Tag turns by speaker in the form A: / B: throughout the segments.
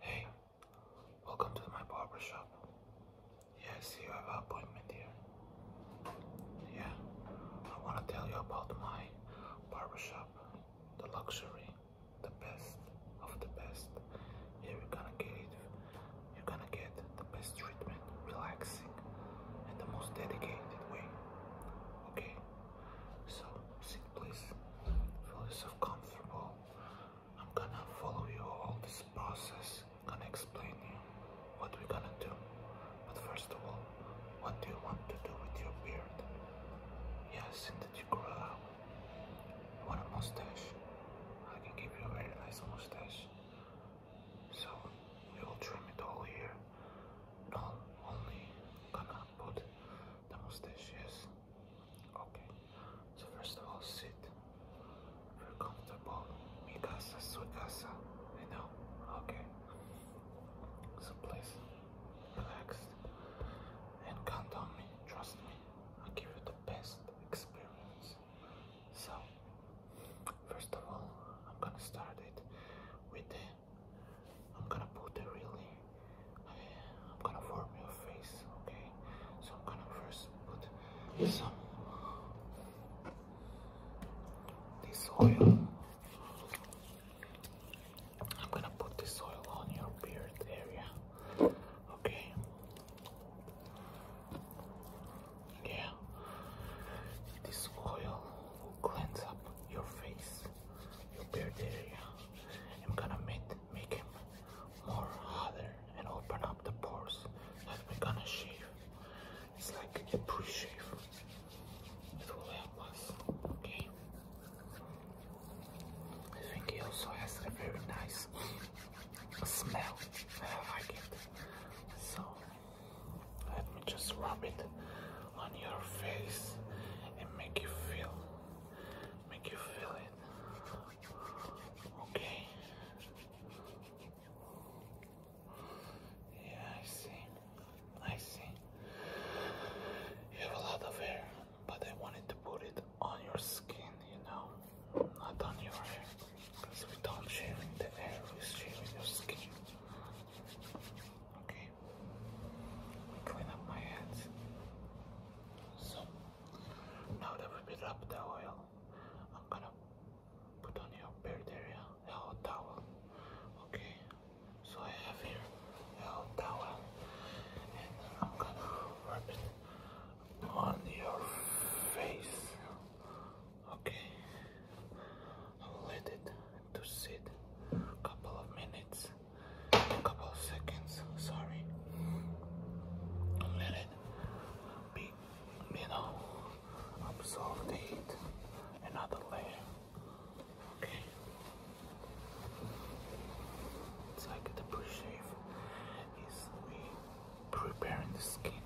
A: Hey, welcome to my barber Yes, you have an appointment here. Yeah, I want to tell you about my barber shop, the luxury, the best of the best. Here you're gonna get You're gonna get the best treatment, relaxing, in the most dedicated way. Okay, so sit please. Feel yourself comfortable. I'm gonna follow you all this process. I'm gonna explain you what we're gonna do. But first of all, what do you want to do with your beard? Yes, and that you grow out. want a mustache? I can give you a very nice mustache. So we will trim it all here. No, only gonna put the mustache, Okay, so first of all, sit. Feel comfortable. Mi casa, I know. Okay. So please, relax and count on me. Trust me. i give you the best experience. So, first of all, I'm gonna start it with the I'm gonna put the really, I am gonna form your face, okay? So I'm gonna first put some this oil. I'm gonna put this oil on your beard area, okay? Yeah, this oil will cleanse up your face your beard area. I'm gonna make, make him more hotter and open up the pores that we're gonna shave. It's like a pre-shave. It will help us, okay? I think he also has a very nice smell. I like it. So let me just rub it on your face and make you feel make you feel it. Okay. Yeah, I see. I see. You have a lot of hair, but I wanted to put it on your skin, you know, not on your hair. Because we don't shaving the hair, we're your skin. Okay. Clean up my hands. So now that we built up the oil, I'm gonna put on your beard area towel. Okay. So I have here a towel, and I'm gonna rub it on your face. Okay. Let it to sit a couple of minutes, a couple of seconds, sorry. And let it be, you know, absorb the heat, another layer, okay? It's like the pre-shave is we preparing the skin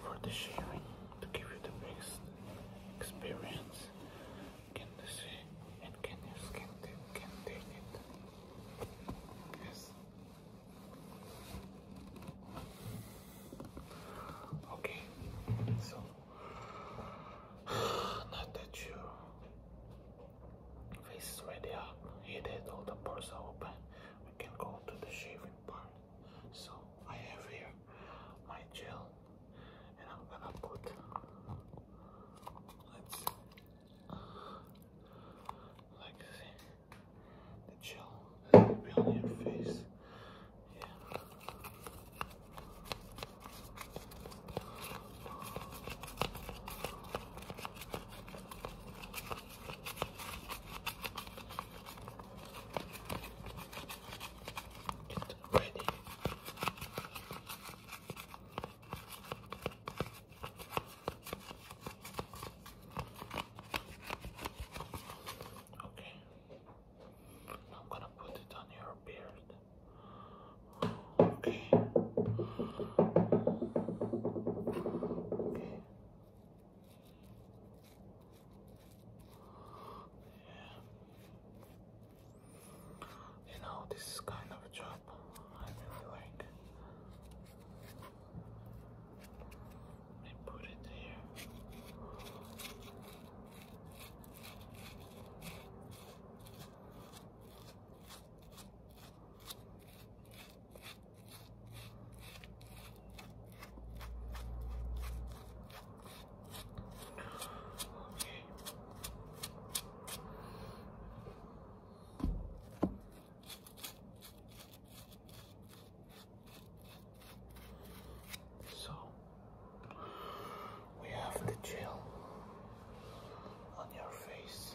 A: for the shaving to give you the best experience can you see and can your skin can take it? Yes. Okay, so not that you face is ready up, it had all the pores are open. We can go to the shaving part. So I have here my gel and I'm gonna put let's like the gel that will on your face. Yeah. It's ready. Okay. I'm gonna put it on your beard. Okay. Okay. You know, this is kind of a job I really like. Let me put it here. So we have the gel on your face.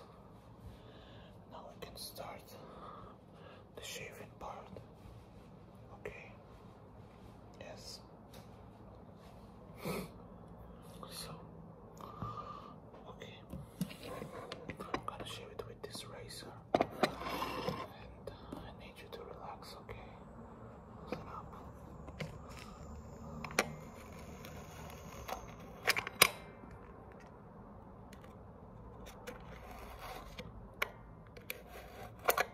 A: Now we can start the shaving part. Okay. Yes. so, okay. I'm gonna shave it with this razor, and uh, I need you to relax. Okay. Listen Okay.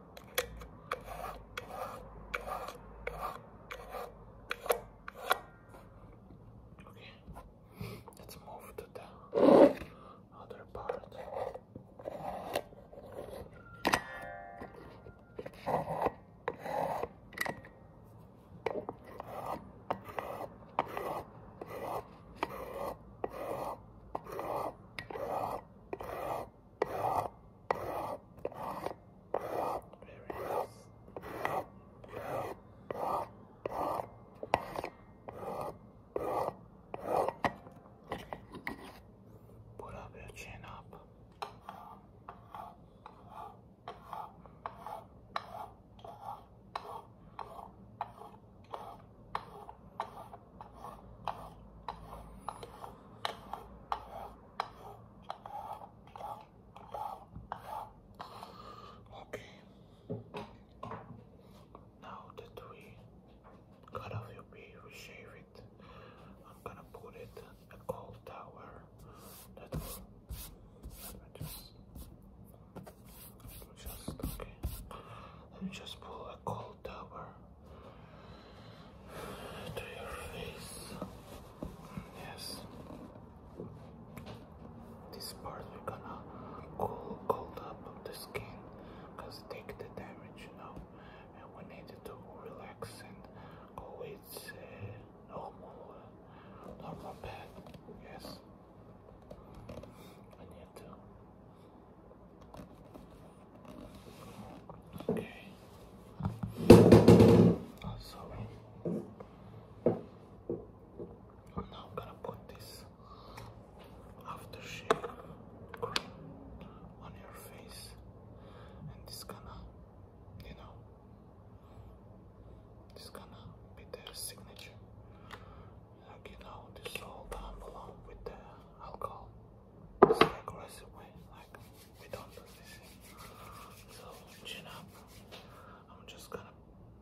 A: Okay, let's move to the other part. Put up your chin up. Okay. Now that we cut off your beard, we shave it. I'm gonna put it a cold tower. That will just, just okay. Let me just pull a cold tower to your face. Yes. This part we're gonna cool, cold up the skin, cause take the damage, you know. And we need to relax and go with uh, normal, uh, normal bed. Yes. I need to Okay. Also, oh, oh, I'm now gonna put this aftershave cream on your face, and it's gonna, you know, it's gonna be their signature. you know, dissolve down along with the alcohol. So an aggressive way. Like we don't do this. So chin up. I'm just gonna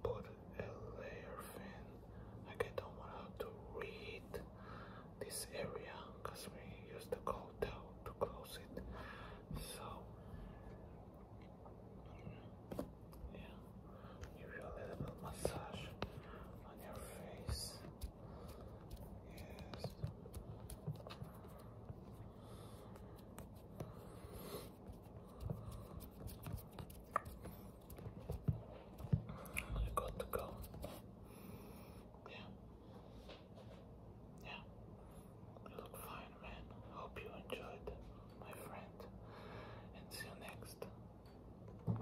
A: put a layer fin. Like I don't want to read this area because we use the cold towel to close it. So yeah, you a little massage on your face. Yes. You're to go. Yeah. Yeah. You look fine, man. Hope you enjoyed, my friend. And see you next.